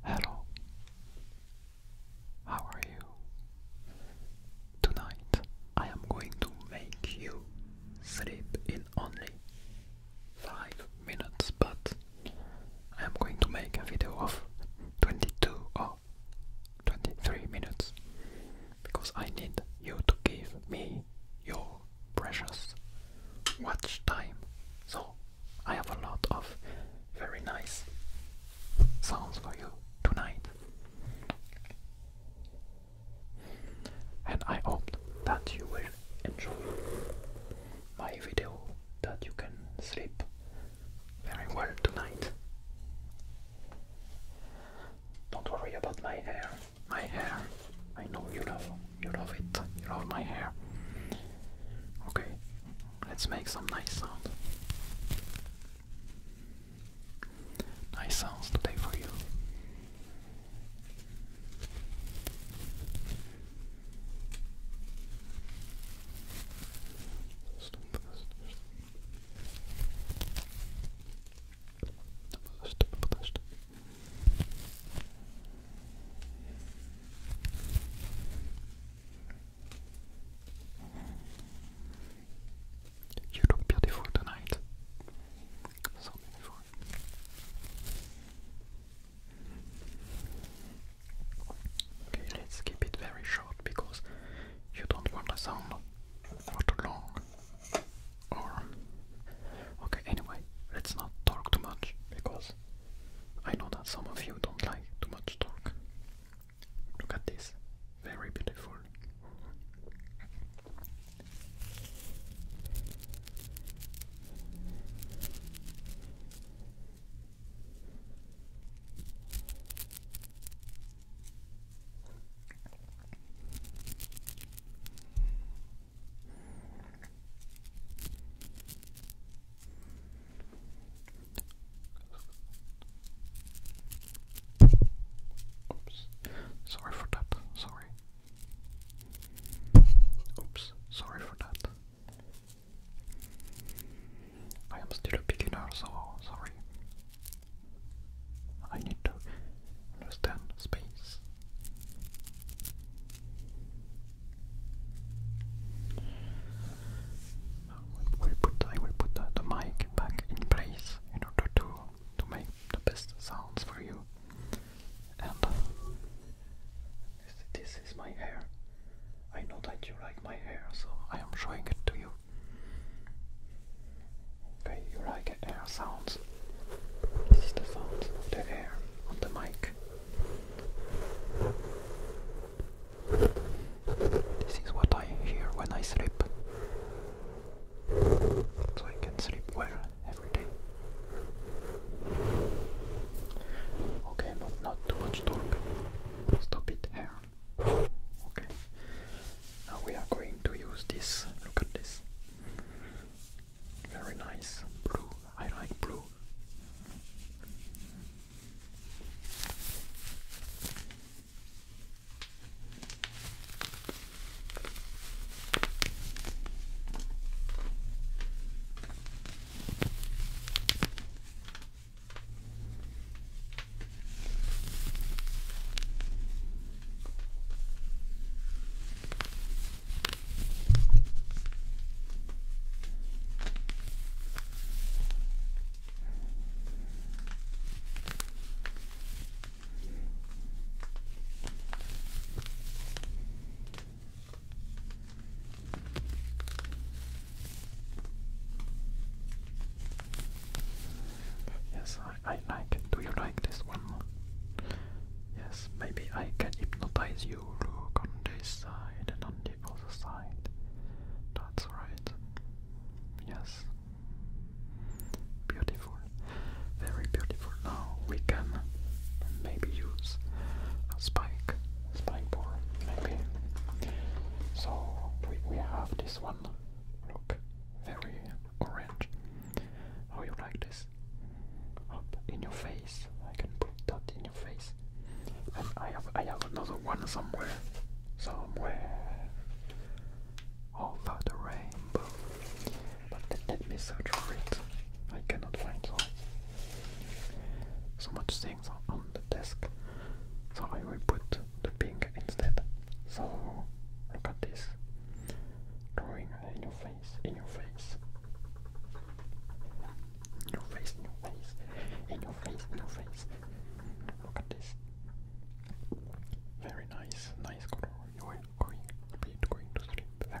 Hello. How are you? Tonight I am going to make you sleep in only 5 minutes, but I am going to make a video of 22 or 23 minutes because I need you to give me your precious watch time. So I have a lot of very nice sounds for you tonight. And I hope that you will enjoy my video, that you can sleep very well tonight. Don't worry about my hair. My hair. I know you love you love it. You love my hair. Okay. Let's make some nice sounds. Nice sounds today for you. You look beautiful tonight. So beautiful. Okay, let's keep it very short because you don't want a sound for too long. Or okay, anyway, let's not talk too much because I know that some of you don't like too much talk. Look at this, very beautiful. Sorry for that. Sorry. Oops. Sorry for that. I am still a beginner, so sorry. I need to understand space. I will put, the, mic back in place in order to, to make the best sounds for you. And this, is my hair. I know that you like my hair, so I am showing it to you. Okay, you like air sounds. This is the sound of the air on the mic. This is what I hear when I sleep. So I can sleep well every day. Okay, but not too much talk. Stop it here. Okay. Now we are going to use this. Look at this. Very nice blue I like blue. Yes, I, I like it. Do you like this one? Yes, maybe I can hypnotize you look on this side and on the other side. That's right. Yes. Beautiful. Very beautiful. Now we can maybe use a spike, spike board, maybe. So we, we have this one. Look, very orange. How you like this? Up in your face. I can put that in your face. And I have I have another one somewhere. Somewhere. All oh, about the rainbow. But let, let me search for it. I cannot find so. So much things are on the desk. So I will put the pink instead. So look at this. Drawing in your face, in your face. In your face, in your face, in your face, in your face. Look at this. Very nice, nice color. You are going to be going to sleep very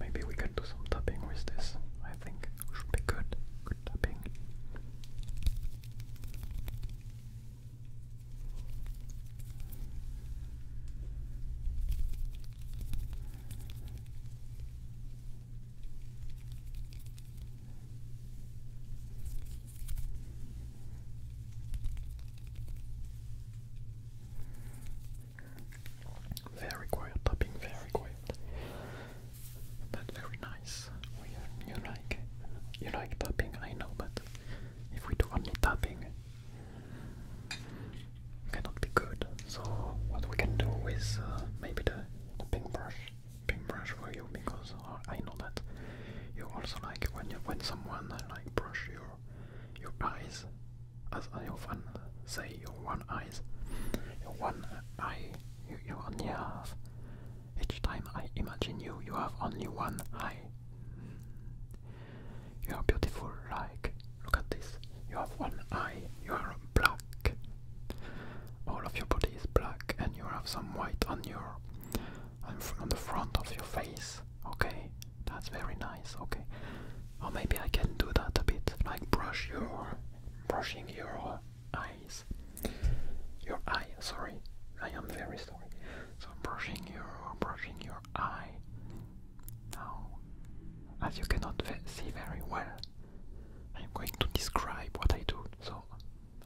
Maybe we can do some tapping with this. I think it should be good tapping. Very quiet tapping, very quiet but very nice. you like you like tapping, I know, but if we do only tapping, cannot be good. So what we can do is uh, maybe the, the pink brush, pink brush for you because uh, I know that you also like when you when someone uh, like brush your your eyes, as I often say, your one eyes, your one eye you, you only have. Each time I imagine you, you have only one eye. You are beautiful, like. Look at this. You have one eye. You are black. All of your body is black, and you have some white on your. on the front of your face. Okay? That's very nice. Okay? Or maybe I can do that a bit, like brush your. brushing your eyes. Your eye, sorry. I am very sorry. So brushing your brushing your eye. Now, as you cannot see very well, I am going to describe what I do. So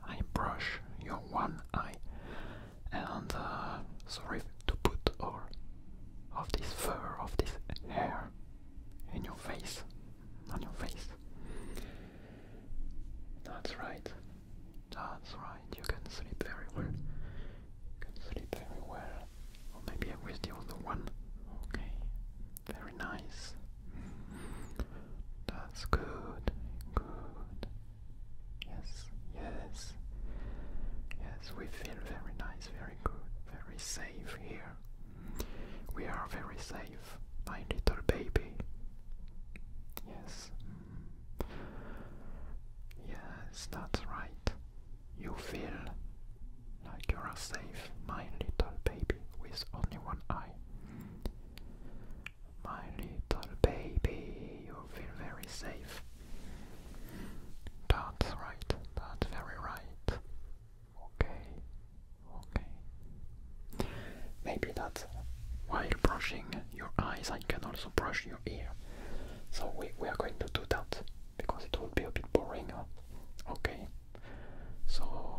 I brush your one eye, and uh, sorry to put all of this fur, of this hair in your face on your face. That's right. That's right. You can sleep very well. You can sleep very well. Or maybe I was the other one. Okay. Very nice. That's good. Good. Yes. Yes. Yes, we feel very nice, very good, very safe here. We are very safe, my little baby. Yes. Yes, that's right. You feel like you are safe, my little baby, with only one eye. My little baby, you feel very safe. That's right, that's very right. Okay, okay. Maybe that's while brushing your eyes, I can also brush your ear. So we, we are going to do that because it would be a bit boring. Okay, so.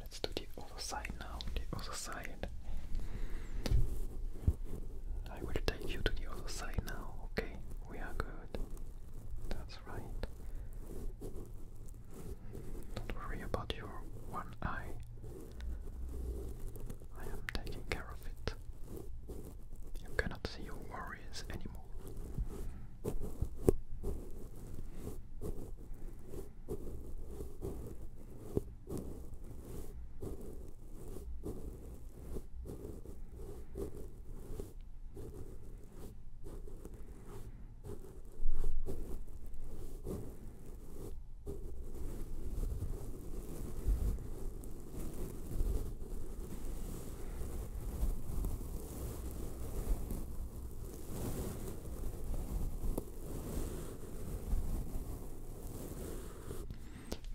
Let's do the other side now, the other side. I will take you to the other side now, okay? We are good. That's right. Don't worry about your one eye. I am taking care of it. You cannot see your worries anymore.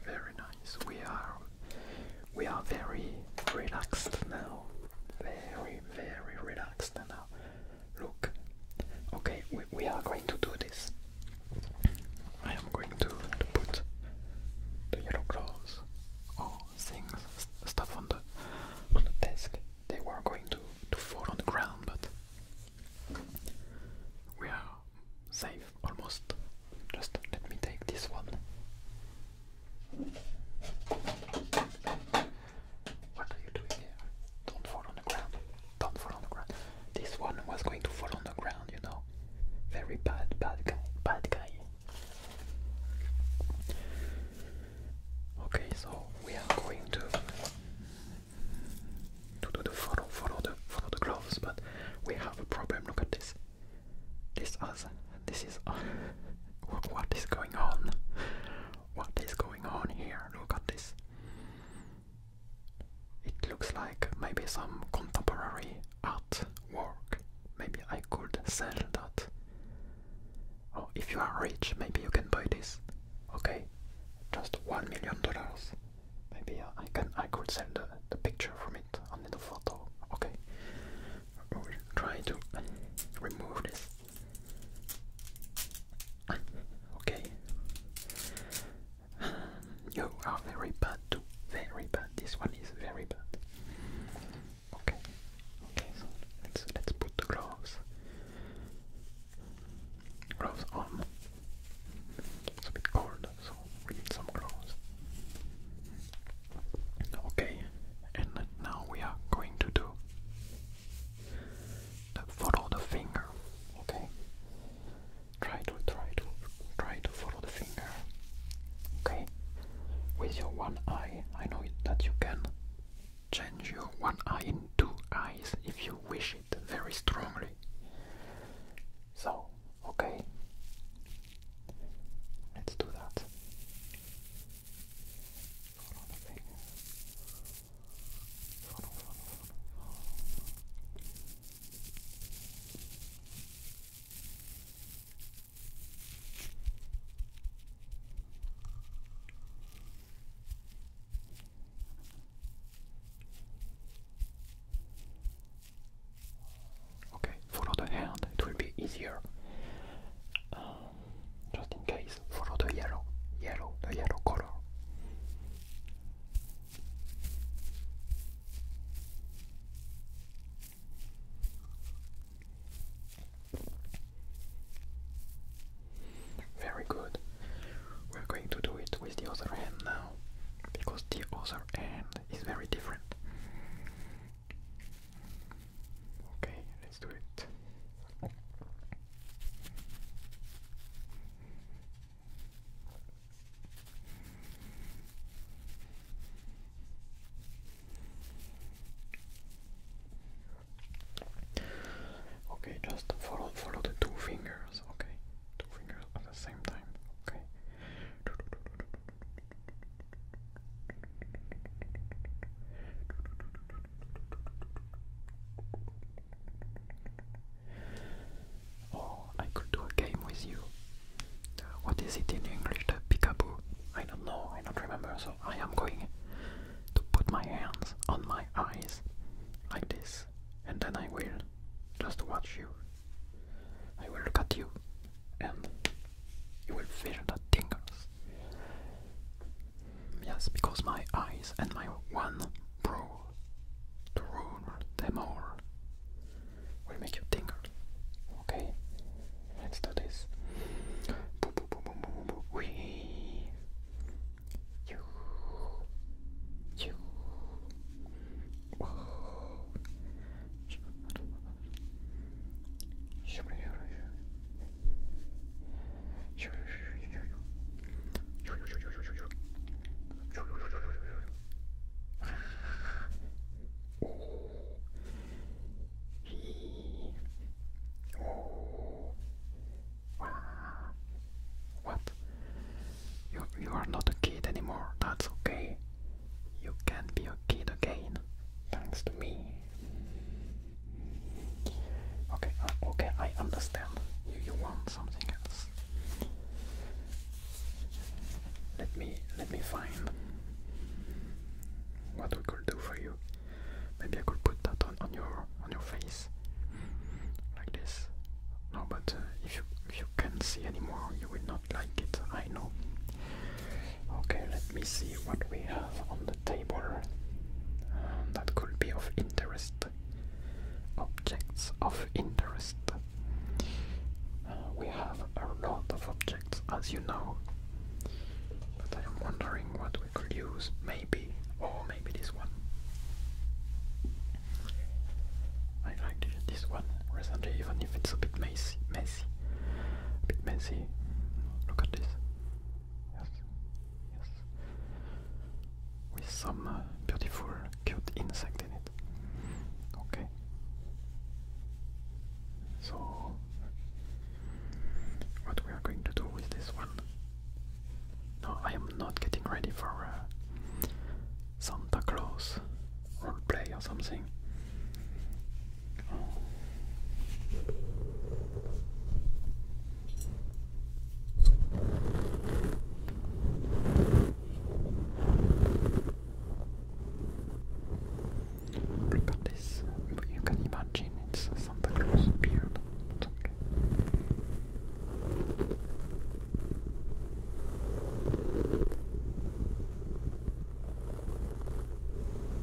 Very nice. We are we are very relaxed now. Very, very relaxed now. Look, okay, we, are going to do this. I am going to, put the yellow clothes or things, stuff on the, on the desk. They were going to, to fall on the ground, but we are safe almost. Just let me take this one. What are you doing here? Don't fall on the ground. Don't fall on the ground. This one was going to fall on the ground, you know. Very bad, bad guy, bad guy. Okay, so we are going to to do the follow, follow the follow the gloves, but we have a problem. Look at this. This us. This is uh, what is going on? What is going on here? Look at this. It looks like maybe some contemporary art work. Maybe I could sell that. Or oh, if you are rich, maybe you can buy this. Okay, just one million dollars. Maybe uh, I can I could sell the, the picture from it, only the photo. Okay, we'll try to remove this okay. You are very bad too. Very bad. This one is very bad. Okay. Okay. So let's let's put the gloves. Gloves on. It's a bit cold, so we need some gloves. Okay. And now we are going to do follow the finger, okay? Try to try to try to follow the finger, okay? With your one eye, I know that you can change your one eye into two eyes if you wish it very strongly. So, okay, let's do that. Okay, follow the hand, it will be easier. Uh, just in case, follow the yellow, yellow, the yellow color. Very good. We're going to do it with the other hand now, because the other hand is very different. Okay, let's do it. Okay, just follow follow the two fingers, okay? Two fingers at the same time, okay? Or oh, I could do a game with you. Uh, what is it in English? The peekaboo? I don't know, I don't remember, so I am going to put my hands on my eyes like this, and then I will just watch you. I will look at you, and you will feel the tingles. Yes, because my eyes and my one brow, the room, them all, will make you tingle. Okay, let's do this. We, you, you, oh. What? You you are not a kid anymore. That's okay. You can be a kid again, thanks to me. Okay, uh, okay, I understand. You, want something else. Let me let me find what we could do for you. Maybe I could put that on, on your on your face like this. No, but uh, if you if you can't see anymore, you will not like it. I know. Okay, let let me see what we have on the table. Um, that could be of interest. Objects of interest. Uh, we have a lot of objects, as you know. But I am wondering what we could use, maybe, or oh, maybe this one. I liked this one recently, even if it's a bit messy. messy. bit messy. Look at this yes, yes. With some uh, beautiful, cute insect in it. Okay. So, what we are going to do with this one? No, I am not getting ready for uh, Santa Claus role play or something. Look at this. You can imagine it's something Claus beard. It's okay.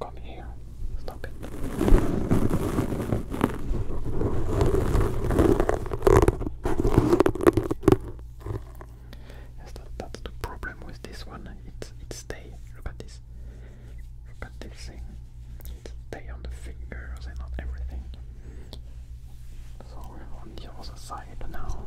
Come here. Stop it. Yes, that, the problem with this one. It's it stay. Look at this. Look at this thing. It stay on the fingers and on everything. So on the other side now.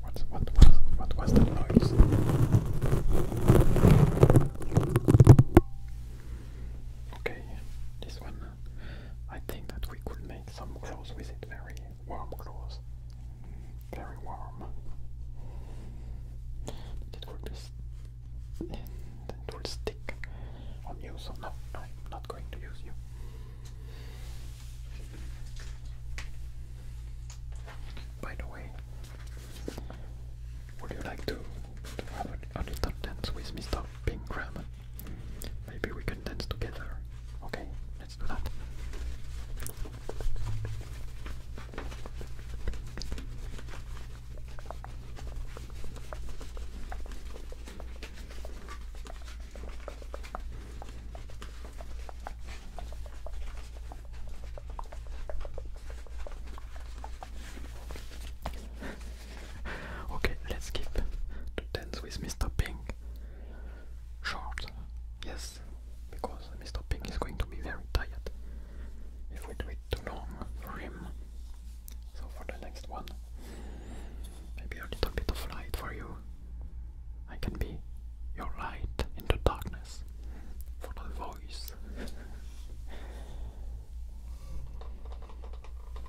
What, what, what, what was that noise? Okay, this one. I think that we could make some clothes with it very warm clothes. Very warm. But will just and will stick on you, so no, I'm not going to use you. By the way, would you like to, have a, little dance with Mr. Pingram? Maybe we can dance together. Okay, let's do that. okay, let's skip to dance with Mr. Pink short. Yes, because Mr. Pig is going to be very tired if we do it too long for him. So for the next one, maybe a little bit of light for you. I can be your light in the darkness for the voice.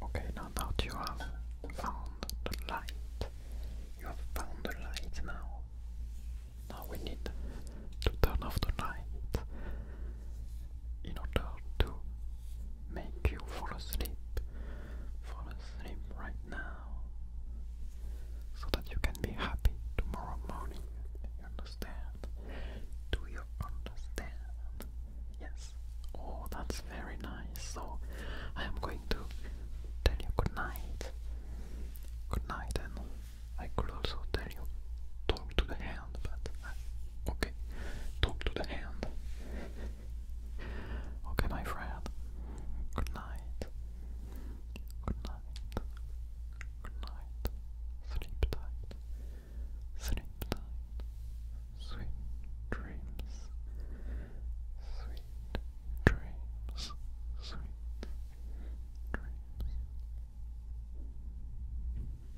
Okay, now that you have found the light, you have found the light now. Now we need to turn off the light in order to make you fall asleep. Fall asleep right now so that you can be happy tomorrow morning. You understand? Do you understand? Yes. Oh, that's very nice. So I am going to tell you good night. Good night, and I could also tell you talk to the hen but okay. Talk to the hand. okay, my friend. Good night. Good night. Good night. Sleep tight. Sleep tight. Sweet dreams. Sweet dreams. Sweet dreams.